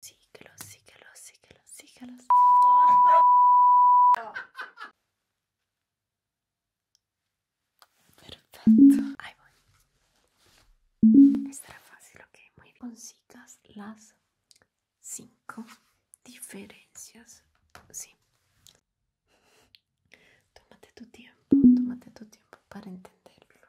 Sí que que Síguelos, síguelos, síguelos, síguelos. Perfecto. Ahí voy. Estará fácil, ok. Muy bien. Consigas las cinco diferencias. Sí. Tómate tu tiempo, tómate tu tiempo para entenderlo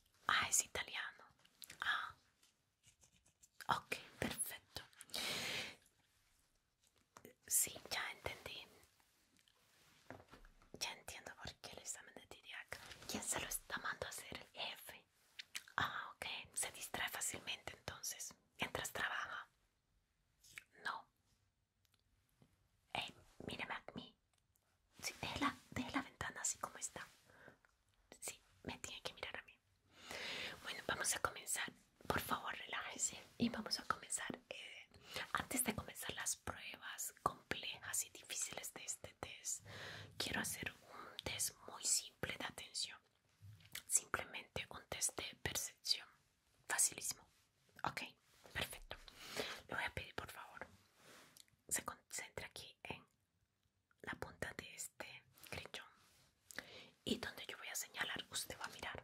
Ah, es italiano. Ah. Ok, perfecto. Sí, ya entendí. Ya entiendo por qué el examen de TDAH. ¿Quién se lo está mandando a hacer? F. Ah, ok. Se distrae fácilmente entonces. Mientras trabaja. No. Eh míreme a mí. Sí, deje la, ventana así como está. Sí, me tiene que mirar a mí. Bueno, vamos a comenzar. Por favor, relájese y vamos a comenzar. Eh, antes de comenzar las pruebas complejas y difíciles de este test, quiero hacer un test muy simple de atención. Simplemente un test de percepción. Facilísimo. Ok, perfecto. Le voy a pedir por favor, se concentre aquí en la punta de este crechón y donde yo voy a señalar usted va a mirar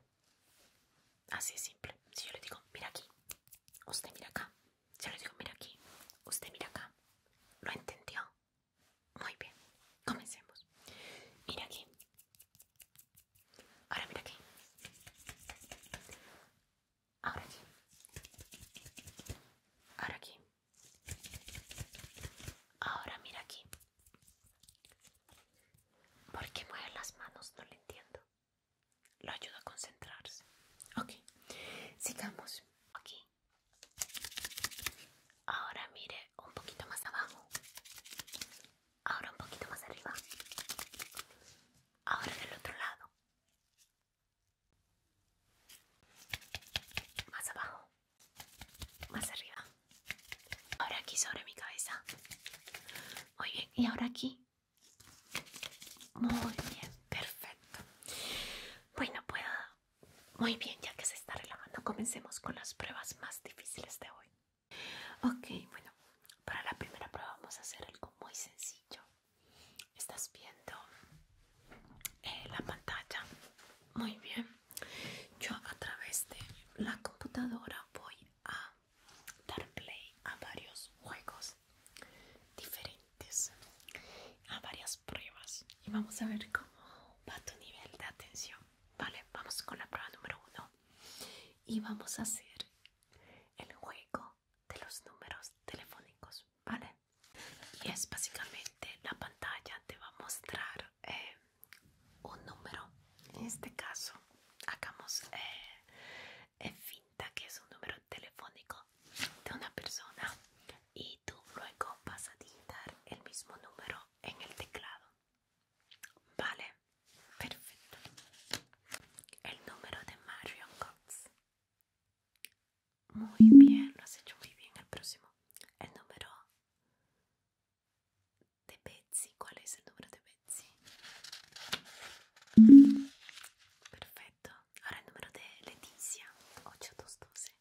así simple si yo le digo mira aquí usted mira acá si yo le digo mira aquí usted mira acá lo entendió muy bien comencemos mira aquí ahora mira aquí Ahora aquí. Ahora aquí. Ahora mira aquí. ¿Por qué mueve las manos? No lo entiendo. Lo ayuda a concentrarse. Ok. Sigamos. Aquí. Ahora mire un poquito más abajo. Ahora un poquito más arriba. Ahora del otro lado. Más abajo. Más arriba. Ahora aquí sobre mi cabeza. Muy bien. Y ahora aquí. Muy bien. Perfecto. Bueno, pues Muy bien, ya que se está relajando, comencemos con las pruebas más difíciles de hoy. Ok, bueno, para la primera prueba vamos a hacer algo muy sencillo estás viendo eh, la pantalla muy bien yo a través de la computadora voy a dar play a varios juegos diferentes a varias pruebas y vamos a ver cómo va tu nivel de atención vale vamos con la prueba número uno y vamos a hacer el juego de los números telefónicos vale y es básicamente la pantalla te va a mostrar eh, un número en este caso hagamos eh, finta que es un número telefónico de una persona y tú luego vas a digitar el mismo número en el teclado vale perfecto el número de Marion Cox muy bien, lo has hecho muy bien. El próximo, el número de Betsy. ¿Cuál es el número de Betsy? Perfecto. Ahora el número de Leticia, doce.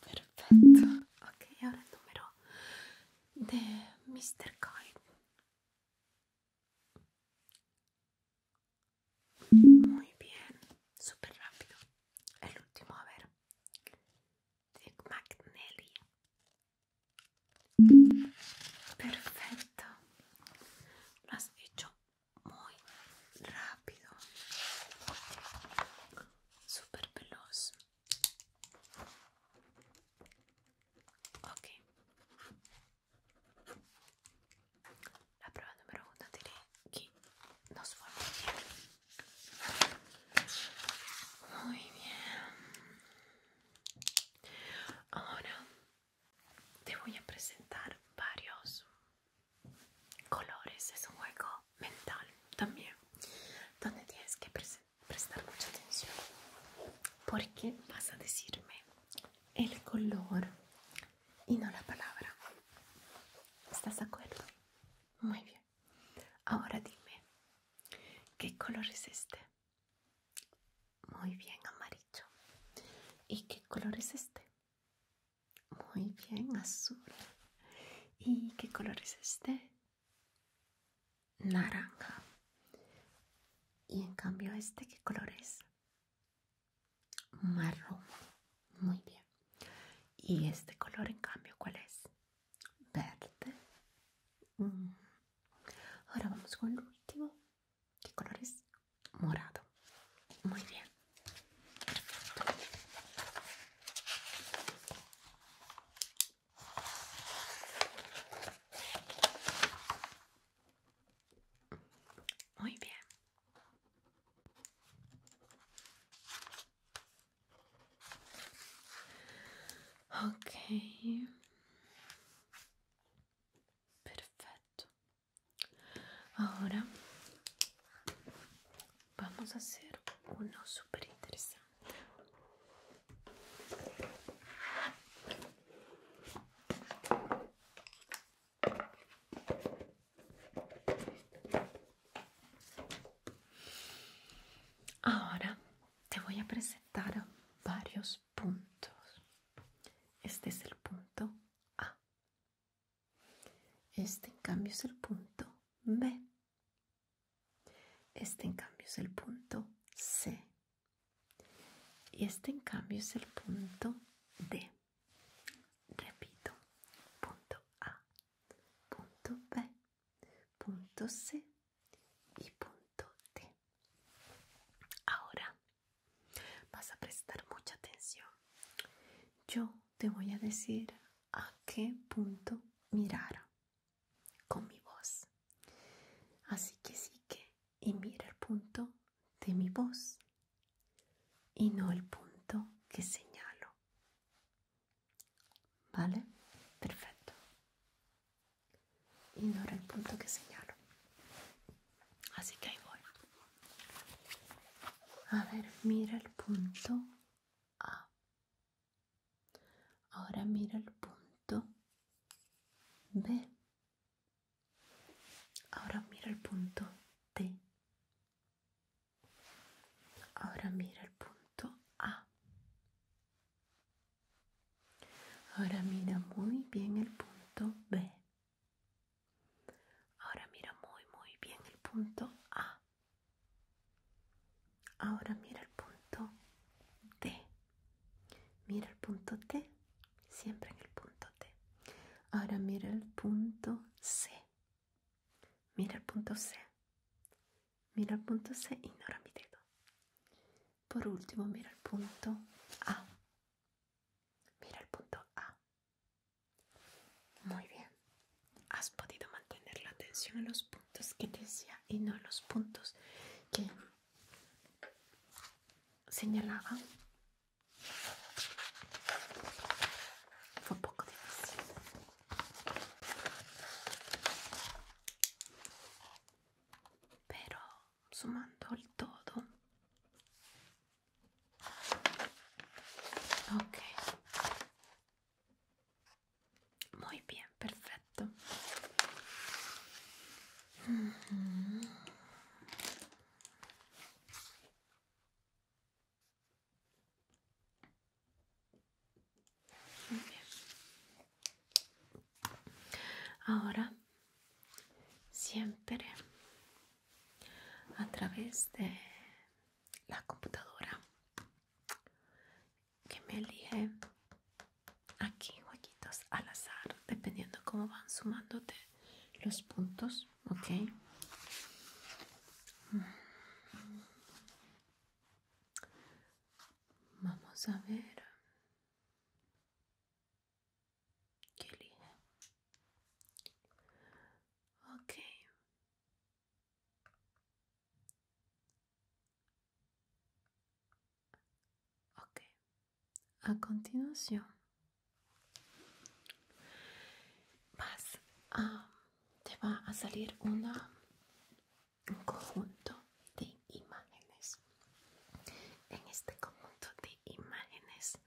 Perfecto. Ok, ahora el número de Mr. Coyne. Muy bien, super rápido. El último, a ver. Dick Perfecto. Lo has hecho muy rápido. super veloz. Ok. La prueba número uno diré que nos fue muy bien. Muy bien. Ahora te voy a presentar varios colores. Es un juego mental también, donde tienes que prestar mucha atención porque vas a decirme el color y no la palabra. ¿Estás de acuerdo? Muy bien. Ahora dime, ¿qué color es este? Muy bien, amarillo. ¿Y qué color es este? Muy bien, azul. ¿Y qué color es este? Naranja. Y en cambio este, ¿qué color es? Marrón. Muy bien. Y este color, en cambio, ¿cuál es? Verde. Mm. Ahora vamos con el último. ¿Qué color es? Morado. Muy bien. Perfecto. Muy bien. Ok. Perfecto. Ahora vamos a hacer uno súper interesante. Ahora te voy a presentar varios puntos. Este es el punto A. Este en cambio es el punto B. Este en cambio es el punto C. Y este en cambio es el punto D. Repito, punto A, punto B, punto C y punto D. Ahora vas a prestar mucha atención. Yo te voy a decir a qué punto mirar con mi voz. Así que sí que y mira el punto de mi voz y no el punto que señalo. ¿Vale? Perfecto. Y no el punto que señalo. Así que ahí voy. A ver, mira el punto A. Ahora mira el punto B. Ahora mira el punto T. Ahora mira el punto A. Ahora mira muy bien el punto B. Ahora mira muy muy bien el punto A. Ahora mira el punto D. Mira el punto T, siempre en el punto T. Ahora mira el punto C. Mira el punto C. Mira el punto C, Y no mi dedo. Por último, mira el punto A. Mira el punto A. Muy bien. Has podido mantener la atención en los puntos que decía y no en los puntos que segnalava fa poco di però sumando il todo ok muy bien perfetto Ahora, siempre a través de la computadora que me elige aquí huequitos al azar dependiendo cómo van sumándote los puntos ok mm. vamos a ver qué elige ok Ok, a continuación vas te va a salir un conjunto de imágenes. En este conjunto de imágenes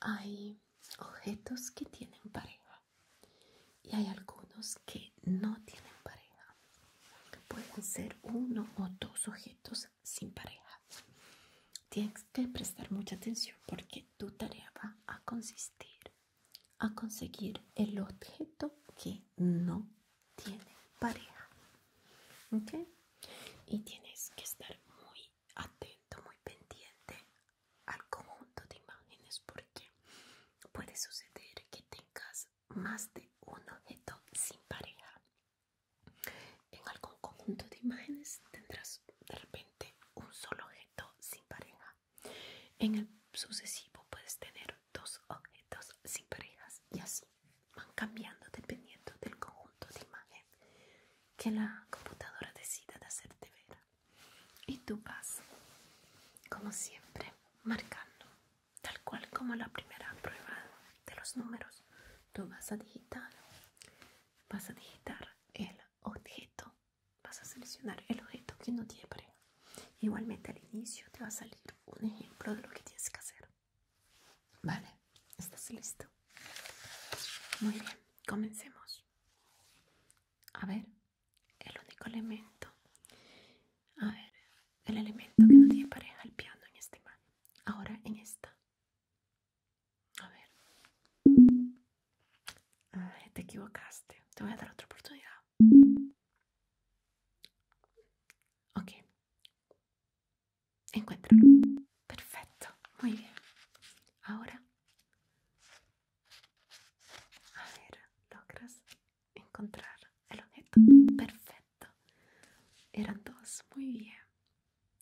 hay objetos que tienen pareja y hay algunos que no tienen pareja. Pueden ser uno o dos objetos sin pareja. Tienes que prestar mucha atención porque tu tarea va a consistir a conseguir el objeto que no tiene pareja. ¿Ok? Y tienes que estar muy atento, muy pendiente al conjunto de imágenes porque puede suceder que tengas más de un objeto sin pareja. En algún conjunto de imágenes tendrás de repente un solo objeto sin pareja. En el sucesivo puedes tener dos objetos sin parejas y así van cambiando dependiendo del conjunto de imágenes que la computadora decida de hacerte ver. Y tú vas, como siempre, marcando tal cual como la primera prueba de los números tú vas a digitar vas a digitar el objeto vas a seleccionar el objeto que no tiene pareja igualmente al inicio te va a salir un ejemplo de lo que tienes que hacer vale estás listo muy bien comencemos a ver el único elemento a ver el elemento que no tiene pareja el piano en este imagen ahora en esta a ver. te equivocaste. Te voy a dar otra oportunidad. Ok. encuentro, Perfecto. Muy bien. Ahora. A ver, logras encontrar el objeto. Perfecto. Eran dos. Muy bien.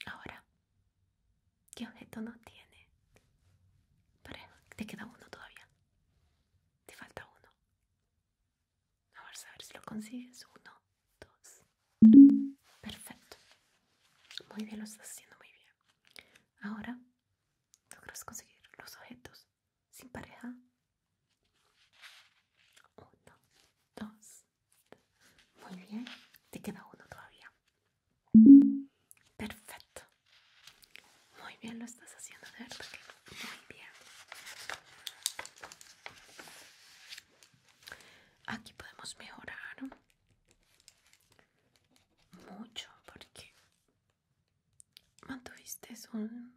Ahora, ¿qué objeto no tiene? Pareja, te queda uno todavía. Te falta uno. vamos a ver si lo consigues. Uno, dos. Perfecto. Muy bien, lo estás haciendo muy bien. Ahora, logras conseguir los objetos sin pareja. Uno, dos. Muy bien, te queda uno todavía. Perfecto. Muy bien, lo estás haciendo de Muy bien. Aquí podemos mejorar mucho porque mantuviste un,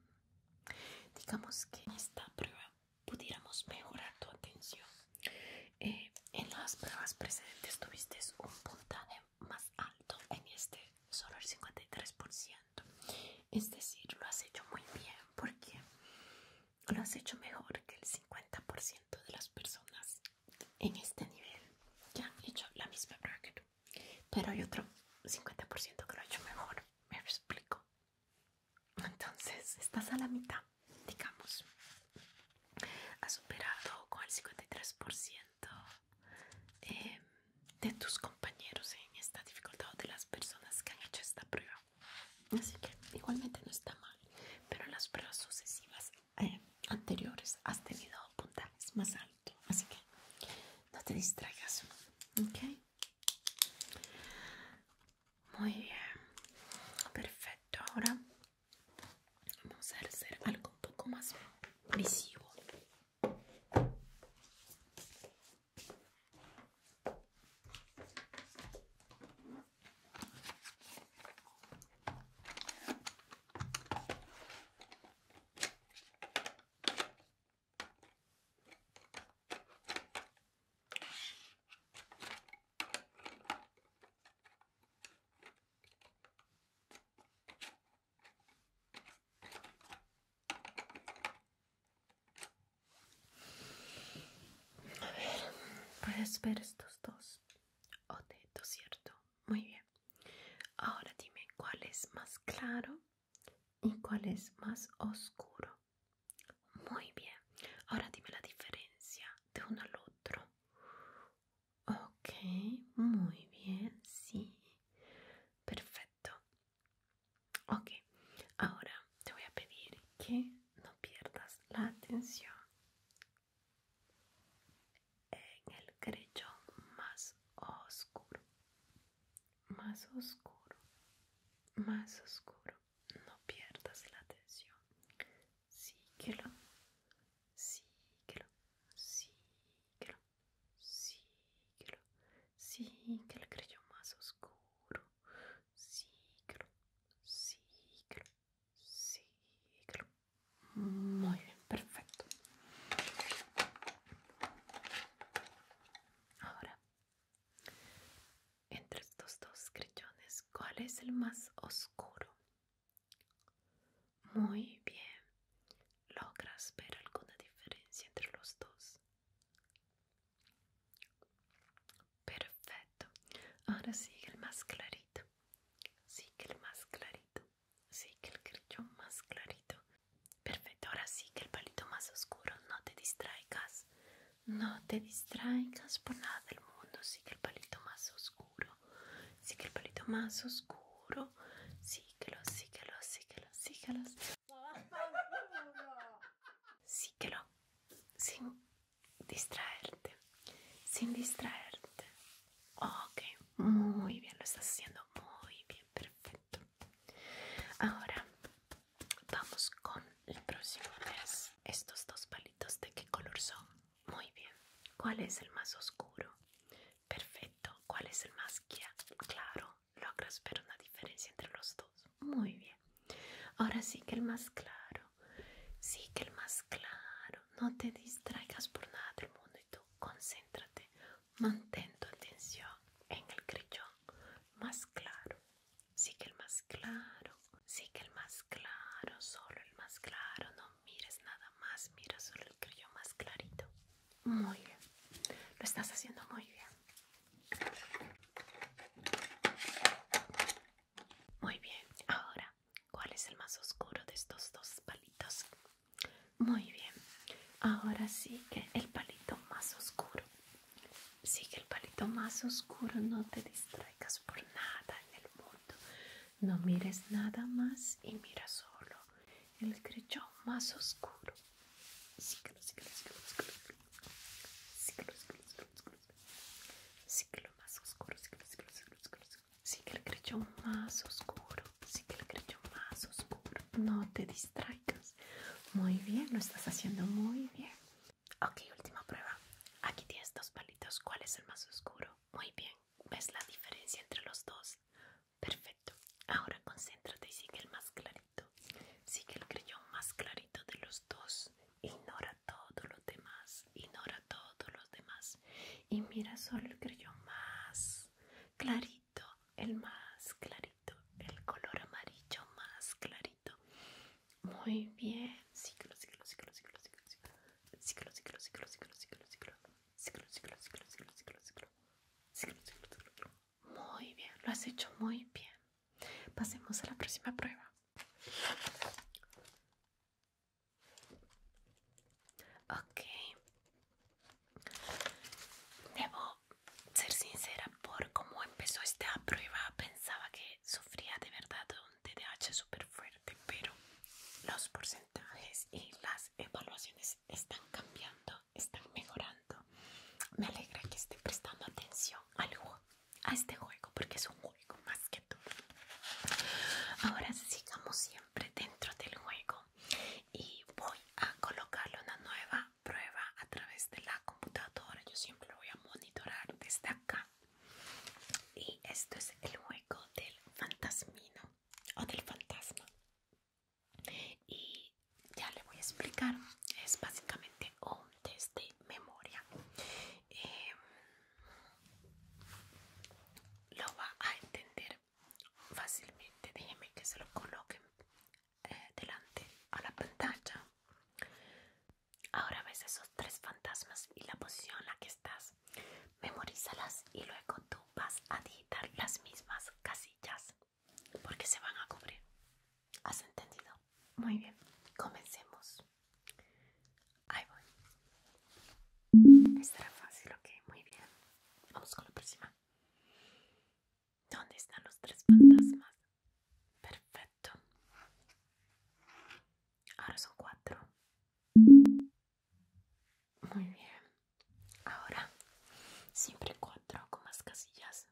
digamos que esta prueba pudiéramos mejorar tu atención. Eh, en las pruebas precedentes tuviste un puntaje más alto, en este solo el 53%. Es decir, lo has hecho muy bien porque lo has hecho mejor que el 50% de las personas en este nivel que han hecho la misma prueba Pero hay otro 50% que lo ha hecho mejor. Me explico. Entonces, estás a la mitad, digamos. Has superado con el 53% eh, de tus compañeros en esta dificultad de las personas que han hecho esta prueba. Así que igualmente no está mal, pero en las pruebas sucesivas eh, anteriores has tenido puntajes más altos. Así que no te distraigas. ¿Ok? Muy bien, perfecto. Ahora vamos a hacer algo un poco más visivo. A puedes ver estos dos. O Oteto, ¿cierto? Muy bien. Ahora dime cuál es más claro y cuál es más oscuro. Muy bien, ahora dime la diferencia de uno al otro. Ok, muy bien, sí. Perfecto. Ok, ahora te voy a pedir que no pierdas la atención en el crechón más oscuro, más oscuro, más oscuro no pierdas la atención. Síguelo, síguelo, síguelo, síguelo, síguelo, creyó más oscuro. Síguelo, síguelo, síguelo. Muy bien, perfecto. Ahora entre estos dos grillones, ¿cuál es el más oscuro? Muy bien. ¿Logras ver alguna diferencia entre los dos? Perfecto. Ahora sigue el más clarito. que el más clarito. que el grillón más clarito. Perfecto. Ahora sí que el palito más oscuro. No te distraigas. No te distraigas por nada del mundo. Sigue el palito más oscuro. Sigue el palito más oscuro. lo Síguelo, síguelo, síguelo, síguelo. Síguelo. Sin distraerte. Sin distraerte. Ok, muy bien. Lo estás haciendo muy bien. Perfecto. Ahora Vamos con el próximo mes. Estos dos palitos de qué color son? Muy bien. ¿Cuál es el más oscuro? Perfecto. ¿Cuál es el más claro? Logras ver una diferencia entre los dos. Muy bien. Ahora sí que el más claro. Sí que el más claro. No te distraigas por nada del mundo y tú concéntrate. Mantén tu atención en el crillón más claro sí que el más claro, sí que el más claro, solo el más claro, no mires nada más, mira solo el que yo más clarito. Muy bien, lo estás haciendo muy bien. Muy bien, ahora, ¿cuál es el más oscuro de estos dos palitos? Muy bien, ahora sí que el palito más oscuro. Sigue el palito más oscuro, no te distraigas por nada en el mundo. No mires nada más y mira solo el crechón más oscuro. Sigue el crechón más oscuro, Sigue el crechón más oscuro, sigue el crechón más oscuro. No te distraigas. Muy bien, lo estás haciendo muy bien. Ok, última prueba. Aquí tienes dos palitos. ¿Cuál es el más oscuro? Muy bien. ¿Ves la diferencia entre los dos? Perfecto. Ahora concéntrate y sigue el más clarito. Sigue el creyón más clarito de los dos. Ignora todos los demás. Ignora todos los demás. Y mira solo el creyón más clarito. El más clarito. El color amarillo más clarito. Muy bien. Ciclo, ciclo, ciclo, ciclo, ciclo, ciclo, ciclo, ciclo, ciclo, ciclo, ciclo, ciclo, ciclo, ciclo, ciclo, ciclo, ciclo, ciclo, ciclo, ciclo. Muy bien, lo has hecho muy bien. Pasemos a la próxima prueba. Ok. Debo ser sincera por cómo empezó esta prueba. Pensaba que sufría de verdad de TDAH súper fuerte, pero los porcentajes y las evaluaciones están cambiando, están mejorando. Me alegra que esté prestando atención Algo a este juego, porque es un juego más que todo. Ahora sigamos siempre dentro del juego y voy a colocarle una nueva prueba a través de la computadora. Yo siempre lo voy a monitorar desde acá y esto es el juego del fantasmino o del fantasma y ya le voy a explicar es básicamente un test de memoria em, lo va a entender fácilmente déjenme que se lo coloquen eh, delante a la pantalla Ahora ves esos tres fantasmas y la posición en la que estás. Memorízalas y luego tú vas a digitar las mismas casillas porque se van a cubrir. ¿Has entendido? Muy bien, comencemos. Ahí voy. Estará fácil, ok, muy bien. Vamos con la próxima. ¿Dónde están los tres fantasmas? Perfecto. Ahora son cuatro. Muy bien. Ahora siempre cuatro con más casillas.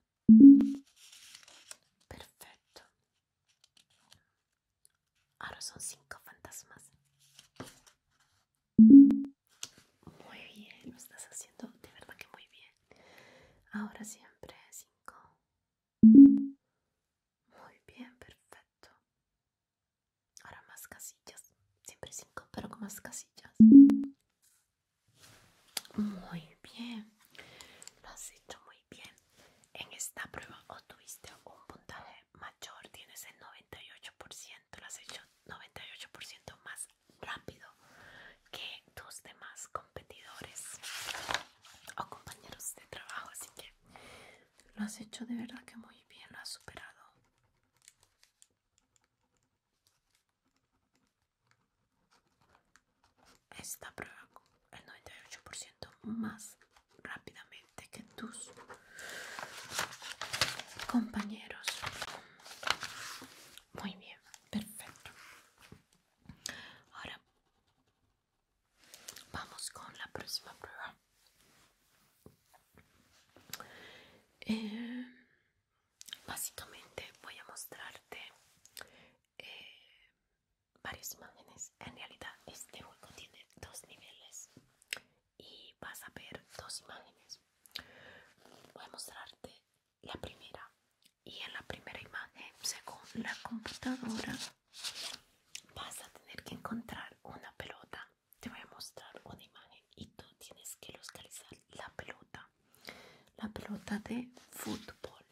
Perfecto. Ahora son cinco fantasmas. Muy bien, lo estás haciendo de verdad que muy bien. Ahora siempre cinco muy bien, perfecto. Ahora más casillas. Siempre cinco, pero con más casillas. Muy bien. Lo has hecho muy bien. En esta prueba obtuviste un puntaje mayor. Tienes el 98%. Lo has hecho 98% más rápido que tus demás competidores o compañeros de trabajo, así que lo has hecho de verdad que muy bien, lo has superado. Esta prueba el 98% más rápidamente que tus compañeros. Muy bien, perfecto. Ahora Vamos con la próxima prueba. Eh, básicamente voy a mostrarte eh, varias imágenes. En realidad este juego tiene dos niveles y vas a ver dos imágenes. Voy a mostrarte la primera y en la primera imagen según la computadora vas a tener que encontrar una pelota. Te voy a mostrar una imagen y tú tienes que localizar la pelota. La pelota de fútbol.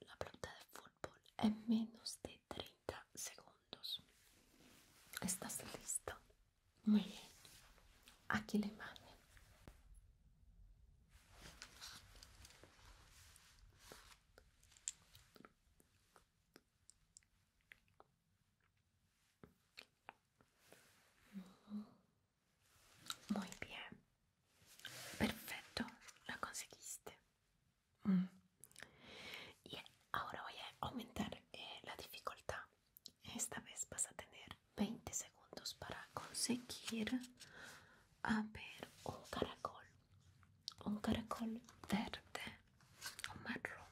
La pelota de fútbol en menos de 30 segundos. ¿Estás listo? Muy bien. Aquí la imagen. Muy bien. Perfecto, La conseguiste. Mm. Y ahora voy a aumentar eh, la dificultad. Esta vez vas a tener 20 segundos para conseguir a ver un caracol, un caracol verde o marrón.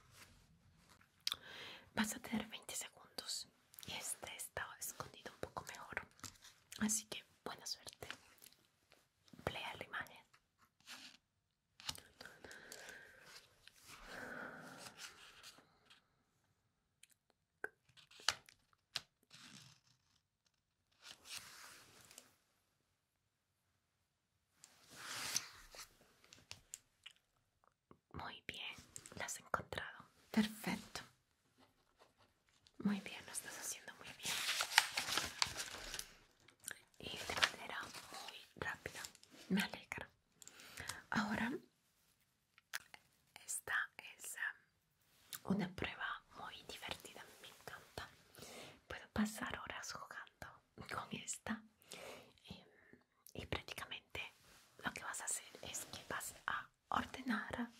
Vas a tener 20 segundos y este está escondido un poco mejor. Así que buena suerte. Plea la imagen. Muy bien, la has encontrado. Perfecto. Muy bien, lo estás haciendo muy bien. Y de manera muy rápida. Me alegra. Ahora, esta es um, una prueba muy divertida, me encanta. Puedo pasar horas jugando con esta. Eh, y prácticamente lo que vas a hacer es que vas a ordenar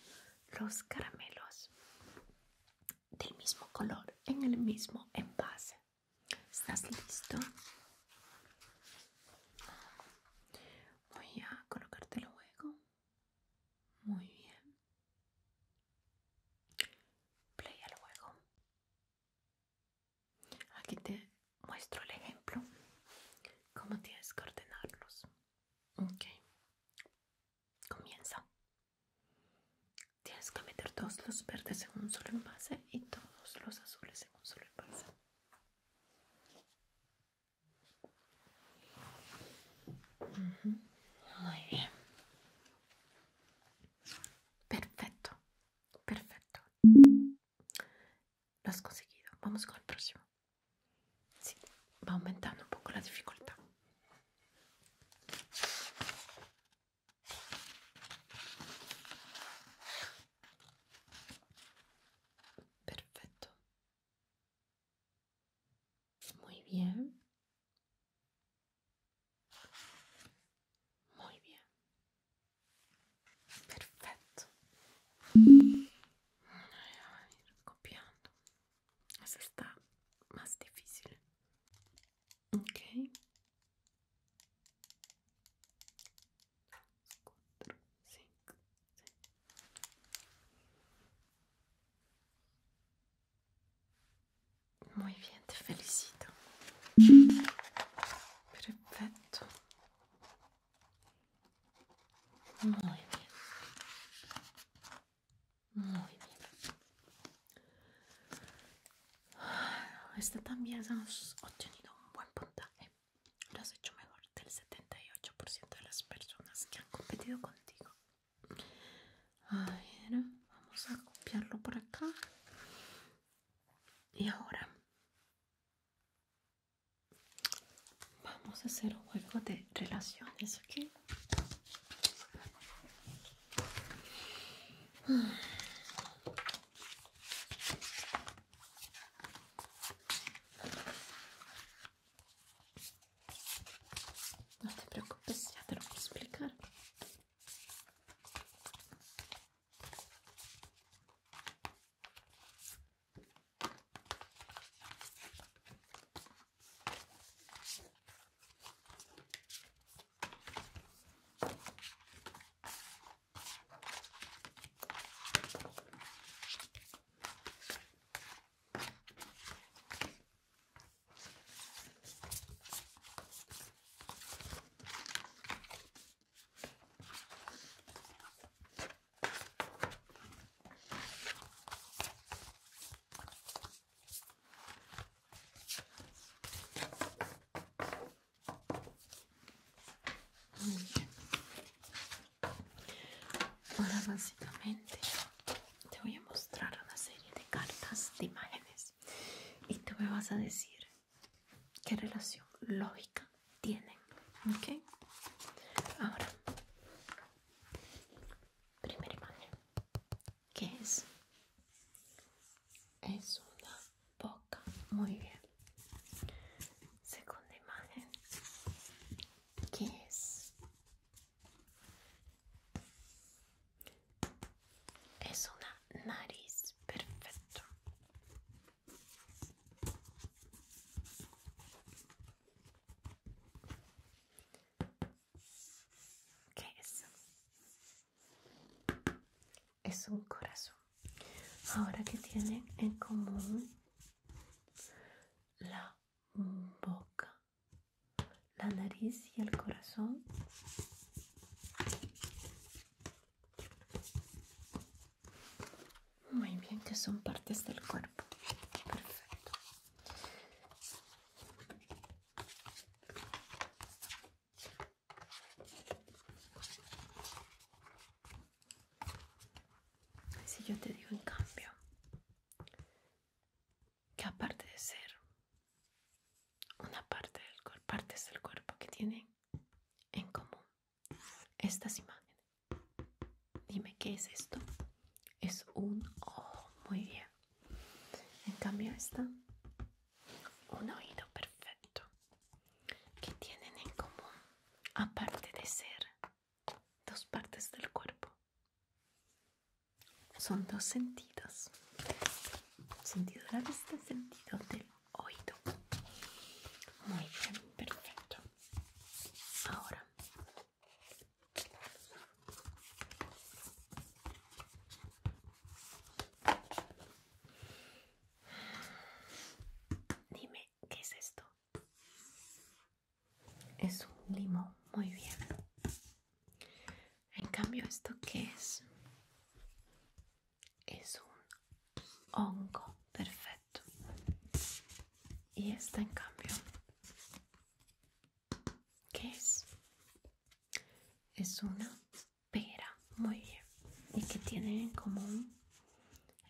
los caramelos del mismo color en el mismo envase. ¿Estás listo? Voy a colocarte luego muy bien. Play al juego. Aquí te muestro el ejemplo. Cómo tienes que ordenarlos. Ok. Comienza. Tienes que meter todos los verdes en un solo envase y todos los azules en un solo envase. Muy bien. Perfecto, perfecto. Lo has conseguido. Vamos con el próximo. Sí, va aumentando un poco la dificultad. Perfecto. Muy bien. Muy bien. Perfecto. copiando. Eso está más difícil. Ok. Muy bien, te felicito. Perfecto. Muy bien. Muy bien. Ah, Esta también has obtenido un buen puntaje. Lo has hecho mejor del 78% de las personas que han competido contigo. A vamos a copiarlo por acá. Y ahora vamos a hacer un juego de relaciones, aquí. Não te preocupes, já te vou explicar. Muy bien. Ahora básicamente te voy a mostrar una serie de cartas, de imágenes, y tú me vas a decir qué relación lógica tienen. ¿Ok? Ahora, primera imagen. ¿Qué es? Es una boca. Muy bien. Segunda imagen. ¿Qué es? Es una nariz, perfecto. ¿Qué es? Es un corazón. Ahora que tiene en común la boca la nariz y el corazón. Muy bien, que son partes del cuerpo. Perfecto. Si yo te digo en cambio que aparte de ser una parte del cuerpo, partes del cuerpo que tienen en común estas imágenes. Dime qué es esto. Es un ojo, muy bien. En cambio esta, un oído perfecto. Que tienen en común aparte de ser dos partes del cuerpo? son dos sentidos sentido de la vista sentido del oído muy bien perfecto ahora dime qué es esto es un limón muy bien en cambio, ¿esto que es? Es un hongo perfecto. Y esta, en cambio, ¿qué es? Es una pera. Muy bien. ¿Y que tiene en común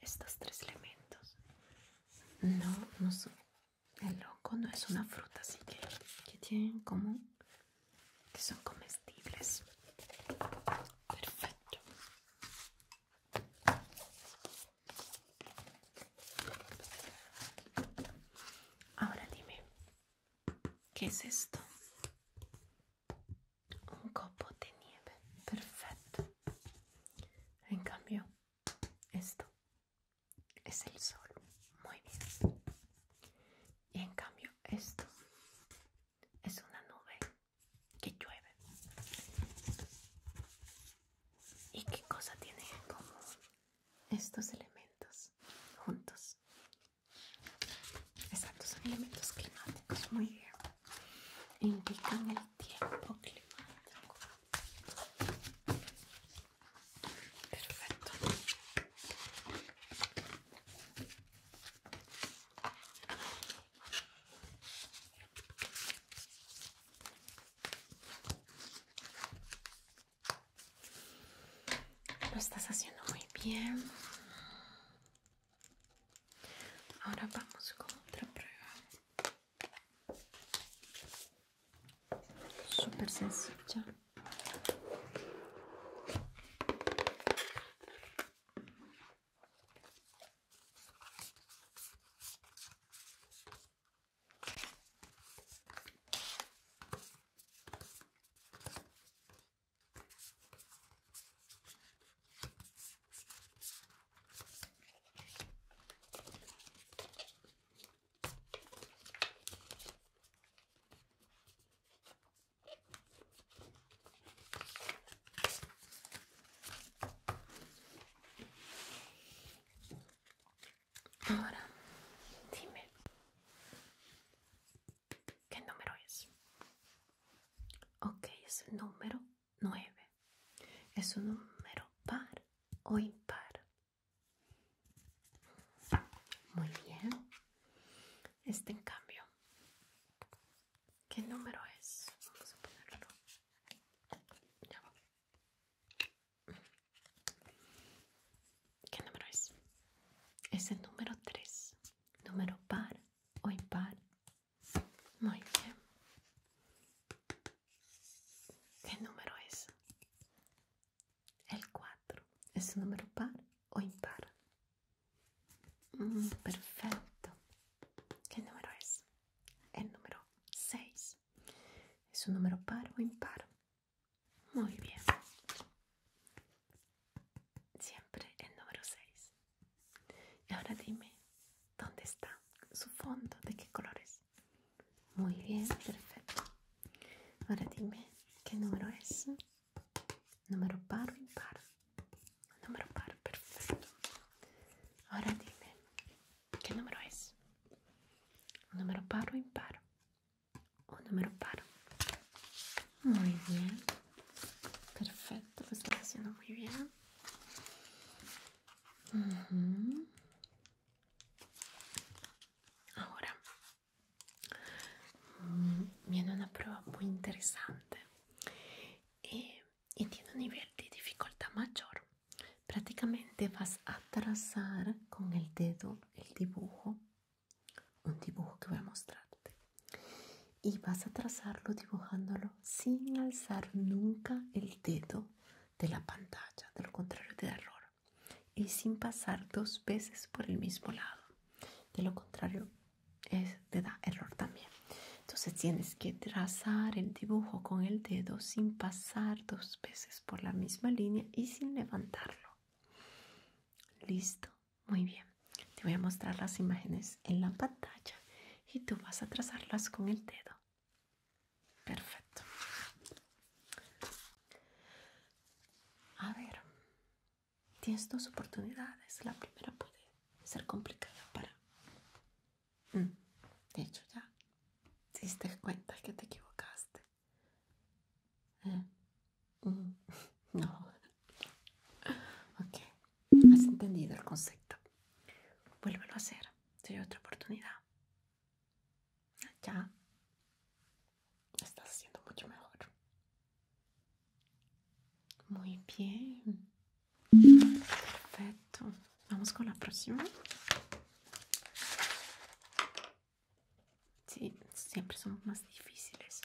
estos tres elementos? No, no son el loco no es una fruta, así que, que tienen en común que son comestibles. Perfecto. Ahora dime, ¿qué es esto? Un copo de nieve. Perfecto. En cambio, esto es el sol. Muy bien. Y en cambio esto es una nube que llueve. ¿Y qué cosa tienen en común estos elementos juntos? Exacto, son elementos climáticos. Muy bien. Indican el tiempo climático. Perfecto. Lo estás haciendo muy bien. Ahora vamos con otra prueba super sencilla Ahora, dime, ¿qué número es? Ok, es el número nueve ¿Es un número par o impar? Muy bien. Este en cambio. ¿Qué número es? Vamos a ponerlo. ¿Qué número es? Es el número 3. Número par o impar. Muy bien. ¿Qué número es? El 4 es un número par o impar. Mm, perfecto. ¿Qué número es? El número 6. ¿Es un número par o impar? Muy bien. Siempre el número 6. Y ahora dime, ¿dónde está su fondo? ¿De qué colores? Muy bien, perfecto. Ahora dime, ¿qué número es? Número par o impar. Número par, perfecto. Ahora dime, ¿qué número es? Número par o impar. Un número par. Muy bien. Perfecto, lo estás haciendo muy bien. Ahora, Mm, viene una prueba muy interesante eh, y, tiene un nivel de dificultad mayor prácticamente vas a trazar con el dedo el dibujo un dibujo que voy a mostrarte y vas a trazarlo dibujándolo sin alzar nunca el dedo de la pantalla de lo contrario te error y sin pasar dos veces por el mismo lado. De lo contrario, te da error también. Entonces tienes que trazar el dibujo con el dedo sin pasar dos veces por la misma línea y sin levantarlo. Listo, muy bien. Te voy a mostrar las imágenes en la pantalla y tú vas a trazarlas con el dedo. Perfecto. A ver, tienes dos oportunidades. La primera puede ser complicada para... Mm, de hecho, ya te diste cuenta que te equivocaste. Eh, mm, no. Ok, has entendido el concepto. Vuélvelo a hacer. Soy otra oportunidad. Ya estás haciendo mucho mejor. Muy bien. Perfecto. Vamos con la próxima. Sí, siempre son más difíciles.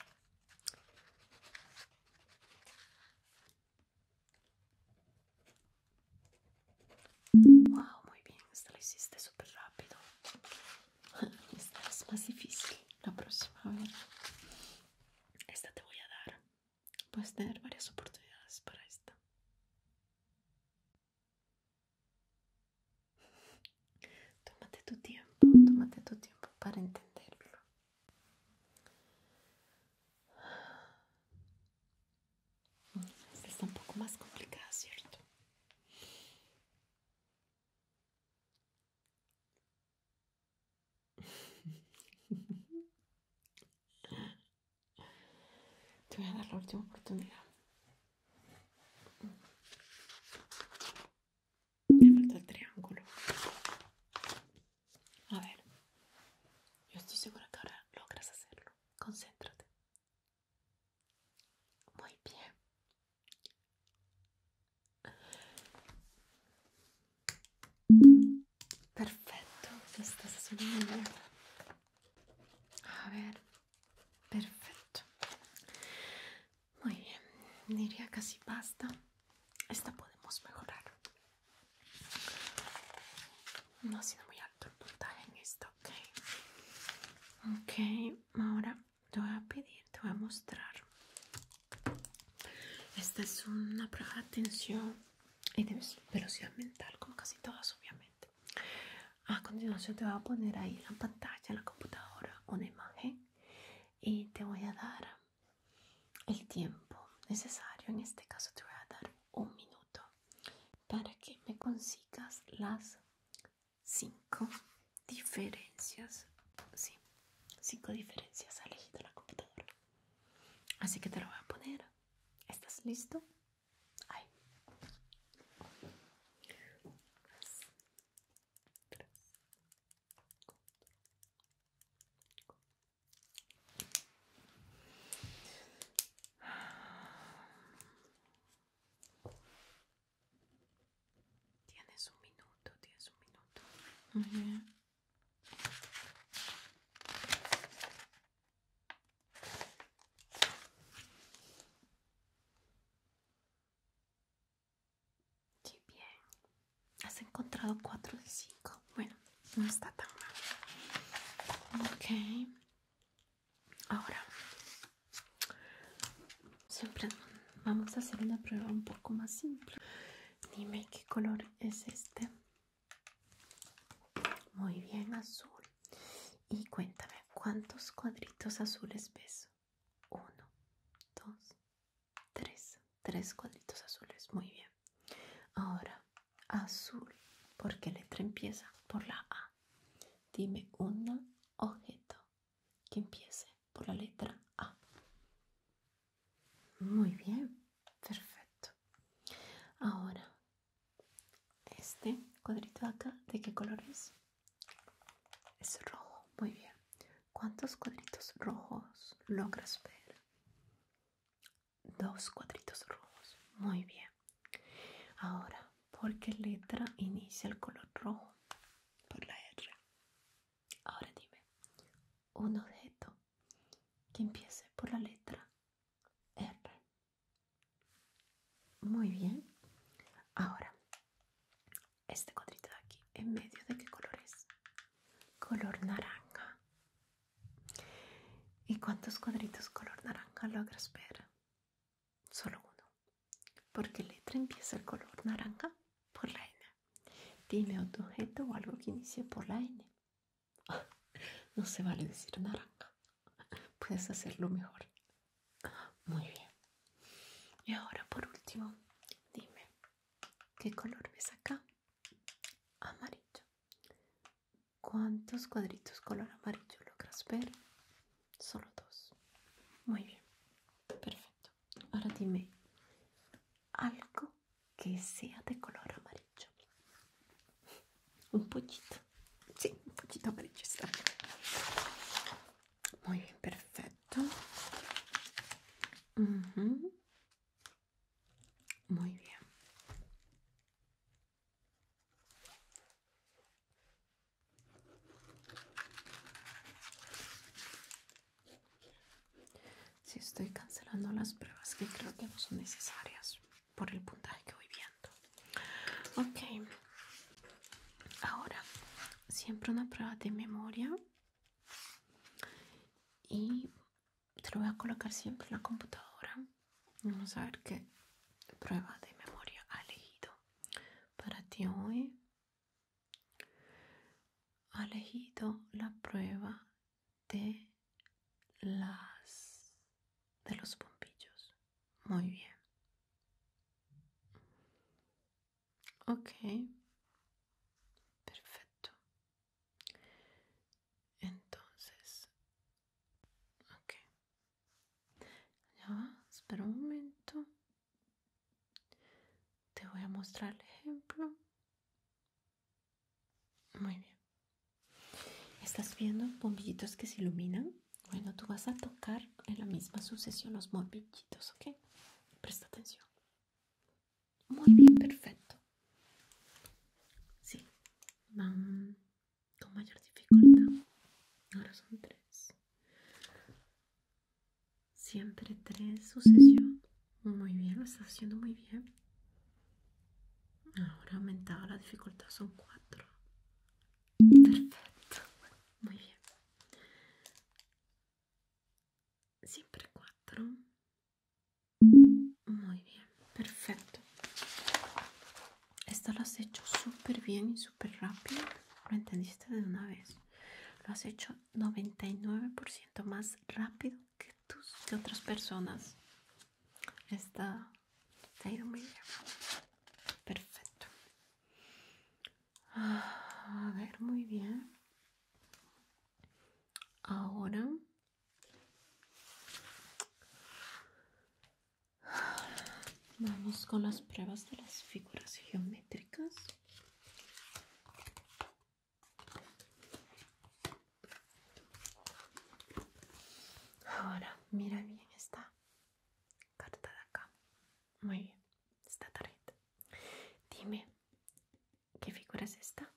Wow, muy bien, esta lo hiciste súper rápido. Esta es más difícil. La próxima, vez. Esta te voy a dar. Puedes tener varias oportunidades para esta. Tómate tu tiempo, tómate tu tiempo para entenderlo. Esta está un poco más complicada, ¿cierto? Te voy a dar la última oportunidad. Me falta el triángulo. A ver, yo estoy segura que ahora logras hacerlo. Concéntrate. Muy bien. Perfecto, esta es A ver, perfecto. Muy bien, diría que casi basta. Esta podemos mejorar. No ha sido muy alto el puntaje en esto ok. Ok, ahora te voy a pedir, te voy a mostrar. Esta es una prueba de atención y de velocidad mental, como casi todas, obviamente. A continuación, te voy a poner ahí en la pantalla, en la computadora, una imagen y te voy a dar el tiempo necesario. En este caso, te voy a dar un minuto para que me consigas las Cinco diferencias. Sí, cinco diferencias al de la computadora. Así que te lo voy a poner. ¿Estás listo? Tienes un minuto, tienes un minuto. bien. Qué bien. Has encontrado cuatro de cinco Bueno, no está tan mal. Ok. Ahora, siempre vamos a hacer una prueba un poco más simple. Dime qué color es este. Muy bien, azul. Y cuéntame, ¿cuántos cuadritos azules ves? Uno, dos, tres. Tres cuadritos azules. Muy bien. Ahora, azul. porque qué letra empieza? Por la A. Dime un objeto que empiece por la letra A. Muy bien, perfecto. Ahora, este cuadrito de acá, ¿de qué color es? Es rojo, muy bien. ¿Cuántos cuadritos rojos logras ver? Dos cuadritos rojos, muy bien. Ahora, porque letra inicia el color rojo por la R. Ahora dime, un objeto que empiece por la letra R. Muy bien. Ahora, este cuadrito de aquí, ¿en medio de qué color es? Color naranja. ¿Y cuántos cuadritos color naranja logras ver? Solo uno porque letra empieza el color naranja por la N. Dime otro objeto o algo que inicie por la N. No se vale decir naranja. Puedes hacerlo mejor. Muy bien. Y ahora por último, dime, ¿qué color ves acá? Amarillo. ¿Cuántos cuadritos color amarillo logras ver? Solo dos. Muy bien. Perfecto. Ahora dime algo que sea de color amarillo. Un poquito. Sí, un poquito amarillo está. Muy bien, perfecto. Muy bien. Si estoy cancelando las pruebas que creo que no son necesarias por el puntaje que voy viendo. Ok. Ahora, siempre una prueba de memoria. Y te lo voy a colocar siempre en la computadora. Vamos a ver qué prueba de memoria ha elegido para ti hoy ha elegido la prueba de las de los pompillos Muy bien. Ok. Perfecto. Entonces. Ok. espera un momento. Te voy a mostrar el ejemplo. Muy bien. ¿Estás viendo bombillitos que se iluminan? Bueno, tú vas a tocar en la misma sucesión los bombillitos, ¿ok? Presta atención. Muy bien, perfecto. Sí, van con mayor dificultad. Ahora son tres. Siempre tres sucesión. Muy bien, lo estás haciendo muy bien. Ahora aumentado la dificultad, son cuatro. Perfecto, muy bien. Siempre cuatro. Muy bien, perfecto. Esto lo has hecho súper bien y súper rápido. Lo entendiste de una vez. Lo has hecho 99% más rápido que, tus, que otras personas. Está. está ha muy bien. Perfecto. Ah, a ver, muy bien. Ahora Vamos con las pruebas de las figuras geométricas. Ahora, mira bien esta carta de acá. Muy bien, esta tarjeta. Dime, ¿qué figura es esta?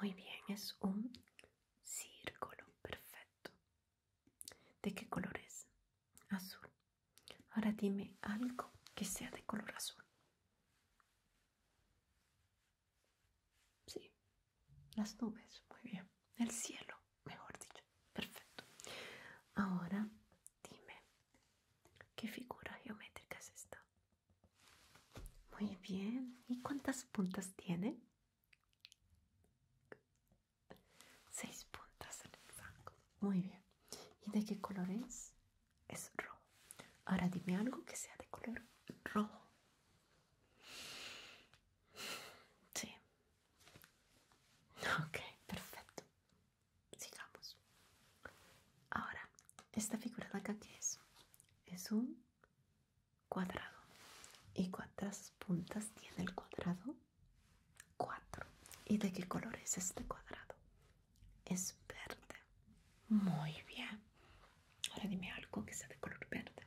Muy bien, es un círculo. Perfecto. ¿De qué color es? Azul. Ahora dime algo que sea de color azul. Sí, las nubes, muy bien. El cielo, mejor dicho. Perfecto. Ahora dime, ¿qué figura geométrica es esta? Muy bien. ¿Y cuántas puntas tiene? Seis puntas en el banco. Muy bien. ¿Y de qué color es? Es rojo. Ahora dime algo que sea de color rojo. Sí. Ok, perfecto. Sigamos. Ahora, esta figura de acá, ¿qué es? Es un cuadrado. ¿Y cuántas puntas tiene el cuadrado? Cuatro. ¿Y de qué color es este cuadrado? Es verde. Muy bien. Ahora dime algo que sea de color verde.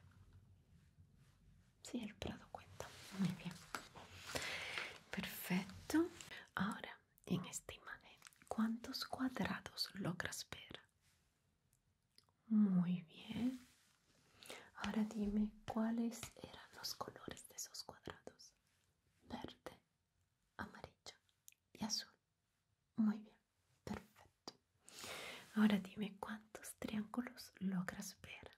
Sí, el prado cuenta. Muy bien. Perfecto. Ahora, en esta imagen, ¿cuántos cuadrados logras ver? Muy bien. Ahora dime cuáles eran los colores de esos cuadrados verde amarillo y azul muy bien perfecto ahora dime cuántos triángulos logras ver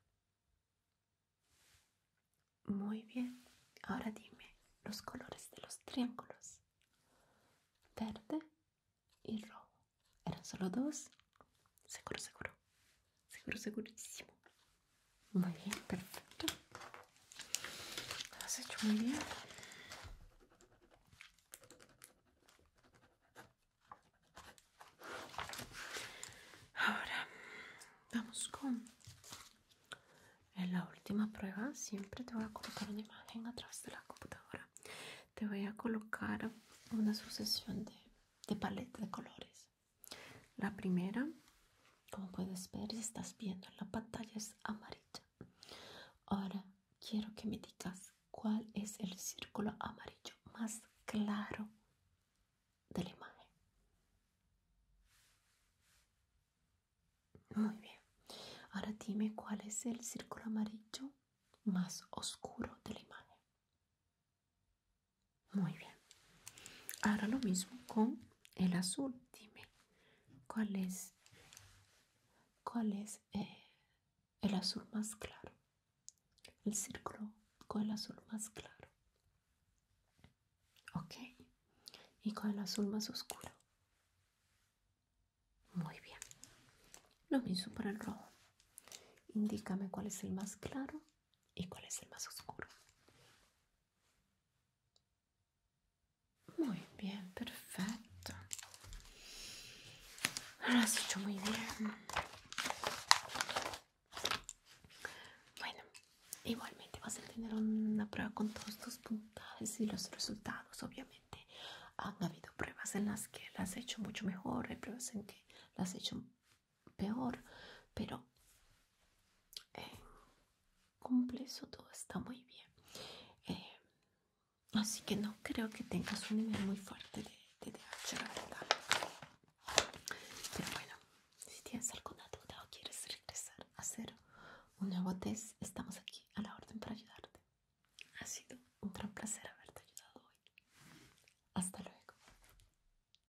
muy bien ahora dime los colores de los triángulos verde y rojo eran solo dos seguro seguro Seguro, segurísimo. Muy bien, perfecto. Lo has hecho muy bien. Ahora vamos con la última prueba. Siempre te voy a colocar una imagen Atrás de la computadora. Te voy a colocar una sucesión de, paletas de colores. La primera, como puedes ver si estás viendo la pantalla, es amarilla. Ahora quiero que me digas cuál es el círculo amarillo más claro de la imagen. Muy bien. Ahora dime cuál es el círculo amarillo más oscuro de la imagen. Muy bien. Ahora lo mismo con el azul. Dime, ¿cuál es, cuál es eh, el azul más claro? El círculo con el azul más claro. Ok. Y con el azul más oscuro. Muy bien. Lo mismo para el rojo. Indícame cuál es el más claro ¿Y cuál es el más oscuro? Muy bien, perfecto. Lo has hecho muy bien. Bueno, igualmente vas a tener una prueba con todos tus puntajes y los resultados, obviamente. Han habido pruebas en las que las has hecho mucho mejor, hay pruebas en que las has hecho peor, pero eh, cumple eso todo, está muy bien. Eh, así que no creo que tengas un nivel muy fuerte de, de DH, la verdad. Pero bueno, si tienes alguna duda o quieres regresar a hacer un nuevo test, estamos aquí a la orden para ayudarte. Ha sido un gran placer haberte ayudado hoy. Hasta luego.